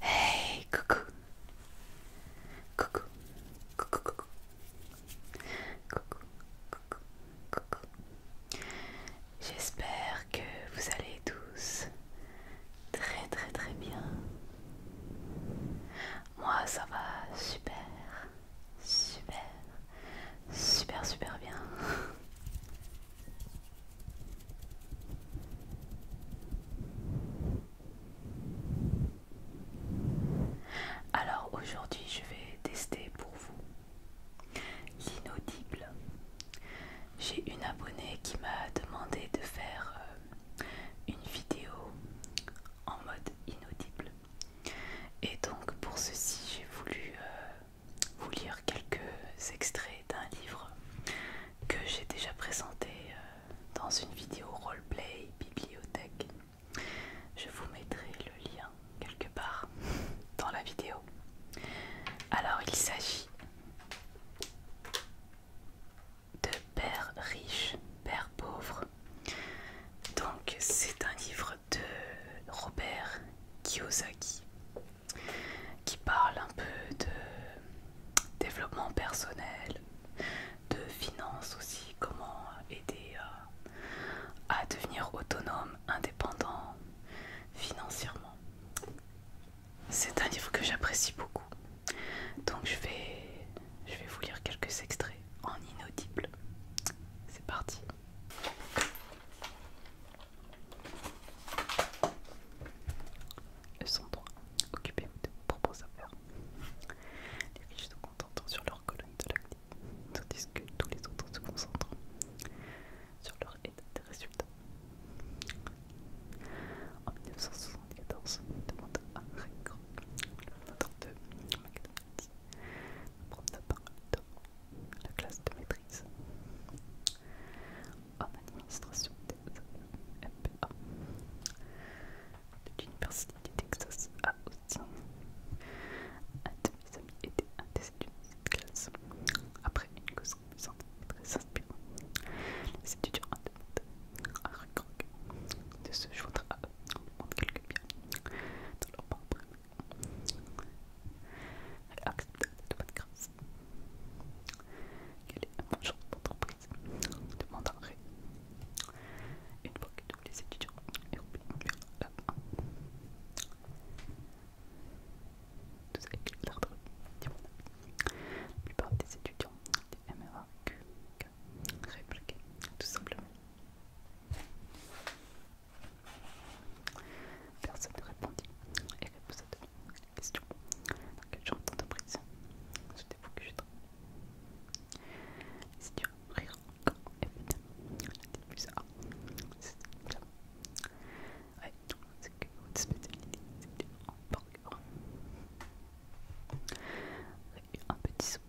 Hey, coucou. Coucou. Coucou, coucou. Coucou, coucou, coucou. J'espère que vous allez tous très très très bien. Moi, ça va super. Super, super, super bien. Alors aujourd'hui je vais tester pour vous l'inaudible. J'ai une abonnée qui m'a demandé de faire euh, une vidéo en mode inaudible. Et donc pour ceci j'ai voulu euh, vous lire quelques extraits d'un livre que j'ai déjà présenté euh, dans une vidéo roleplay bibliothèque. Je vous mettrai le lien quelque part dans la vidéo. Alors il s'agit de Père riche, Père pauvre. Donc c'est un livre de Robert Kiyosaki qui parle un peu de développement personnel, de finances aussi, comment aider à, à devenir autonome, indépendant financièrement. C'est un livre que j'apprécie beaucoup, donc je vais, je vais vous lire quelques extraits en inaudible. C'est parti. Le sont occupé occupez de vos propres affaires. Les riches se concentrent sur leur colonne de l'actif, tandis que tous les autres se concentrent sur leur état des résultats. En 1974, demande à Rick le fondateur de McDonald's, parole de la classe de maîtrise. En administration des MPA. De l'Université du Texas à Austin. Un de mes amis était un des étudiants de cette classe. Après une cause amusante très inspirante, les étudiants ont demandé à de se joindre à eux en quelques bien dans leur propre accepte de bonne grâce. qu'elle est mon genre d'entreprise demanda Ré Une fois que tous les étudiants européens eurent la main, tous avec l'ordre La plupart des étudiants des MRAQ répliquaient tout simplement. Personne ne répondit et reposa de nouveau la question. Dans quel genre d'entreprise Souhaitez-vous que je travaille tu veux rire encore et finalement, la tête plus A, c'est Ouais, c'est que votre spécialité, c'est que tu en burger. Et un petit saut,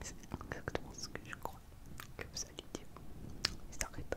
c'est exactement ce que je crois que vous allez dire. Il s'arrête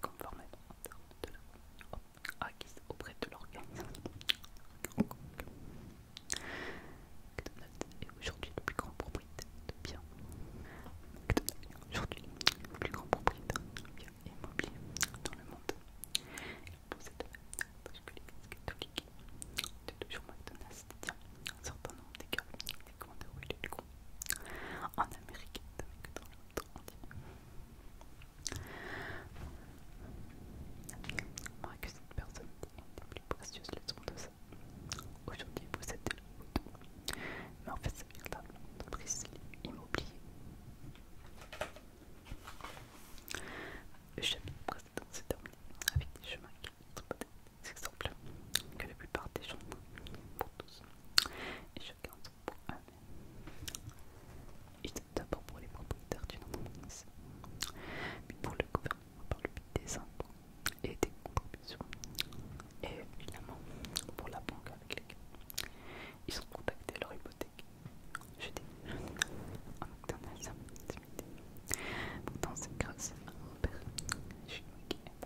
conformément en termes de la loi acquise auprès de l'organisation. McDonald's est aujourd'hui le plus grand propriétaire de biens. McDonald's est aujourd'hui le plus grand propriétaire de biens immobiliers dans le monde. Il possède même parce que l'église catholique de toujours McDonald's détient un certain nombre gars des commandes où il est le en Amérique, que dans le monde Moi que cette personne est plus précieuse leçon de ça. Aujourd'hui, vous êtes de la Mais en fait, c'est vient là. Il m'a Le chapitre précédent s'est terminé avec des chemins qui sont peut-être, il semble, que la plupart des gens, pour tous, ils son d'abord pour les propriétaires d'une entreprise, puis pour le gouvernement par le but des impôts et des contributions, et finalement, pour la banque avec laquelle ils ont contacté leur hypothèque. Je dis, en octobre, ça Pourtant, c'est grâce à mon père, je suis qui est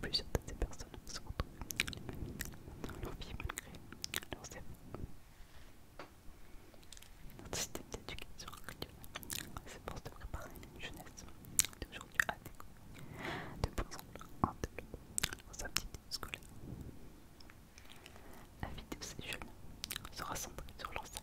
Plusieurs de ces personnes se retrouvent dans leur vie malgré leurs efforts. Notre système d'éducation C'est pour de préparer une jeunesse d'aujourd'hui à découvrir de plus en développant leurs aptitudes scolaires. La vie de ces jeunes sera centrée sur leur salle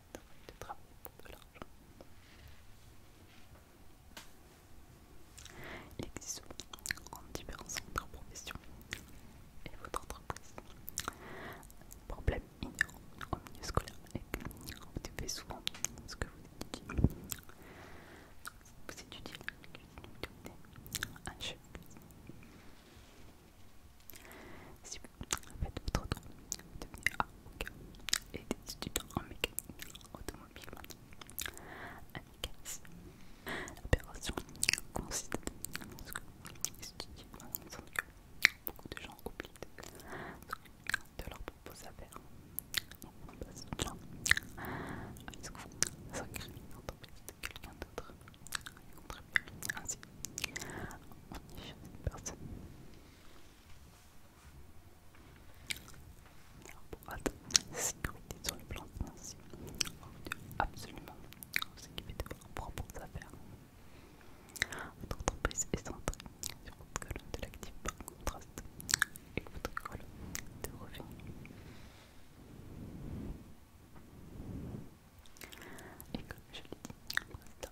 Il de souvent pour de l'argent. Il existe en et votre entreprise. Un problème ignorant au milieu scolaire est que vous devez souvent ce que vous étudiez. Vous étudiez vous cuisine un chef cuisine. Si vous faites votre droit, vous devenez ah, et des étudiants en mécanique automobile en ah, mécanisme L'opération consiste à ce que beaucoup de gens oublient de leur propos affaires. On passe de gens à ce qu'on en tant de quelqu'un d'autre et contribuent ainsi on chez une personne. Pour être sécurité sur le plan financier, vous devez absolument s'équiper de votre propres affaires. Votre entreprise est centrée sur votre colonne de l'actif par contraste et votre colonne de revenus. Et comme je l'ai dit,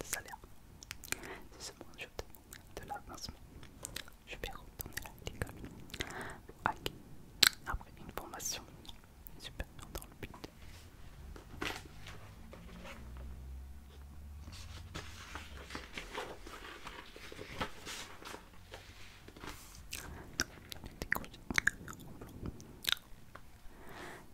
de salaire. C'est seulement un jeu de, de l'avancement. Je vais retourner à l'école. Okay. Après une formation supérieure dans le but. décrocher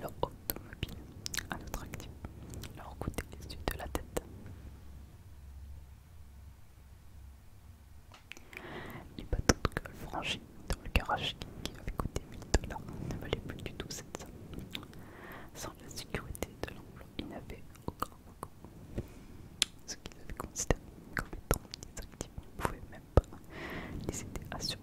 Leur automobile à notre actif leur coûtait les yeux de la tête. pas bateaux de le franchis dans le garage qui avait coûté 1000 dollars ne valait plus du tout cette somme. Sans la sécurité de l'emploi, ils n'avaient aucun recours. Ce qu'ils avaient considéré comme étant des actifs ne pouvaient même pas les aider à survivre.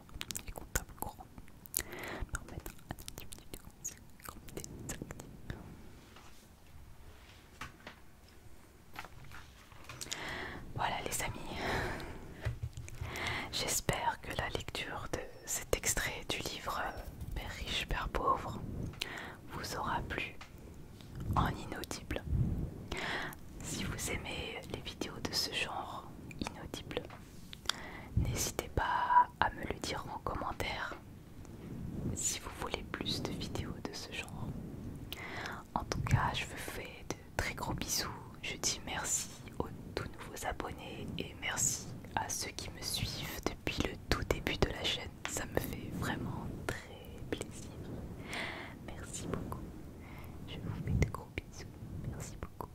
et comptable courant, Voilà les amis, j'espère que la lecture de cet extrait du livre Père riche, Père pauvre vous aura plu en inaudible. Si vous aimez les vidéos de ce genre inaudible. n'hésitez pas à me le dire en commentaire si vous voulez plus de vidéos de ce genre. En tout cas, je vous fais de très gros bisous. Je dis merci aux tous nouveaux abonnés et merci à ceux qui me suivent depuis le tout début de la chaîne. Ça me fait vraiment très plaisir. Merci beaucoup. Je vous fais de gros bisous merci beaucoup.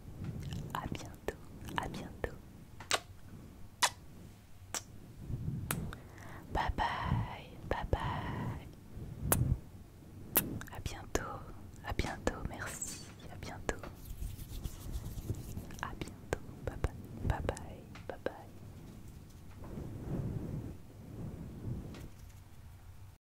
À bientôt, à bientôt. Bye bye, bye bye. À bientôt, à bientôt, merci, à bientôt. À bientôt, bye bye, bye bye, bye bye.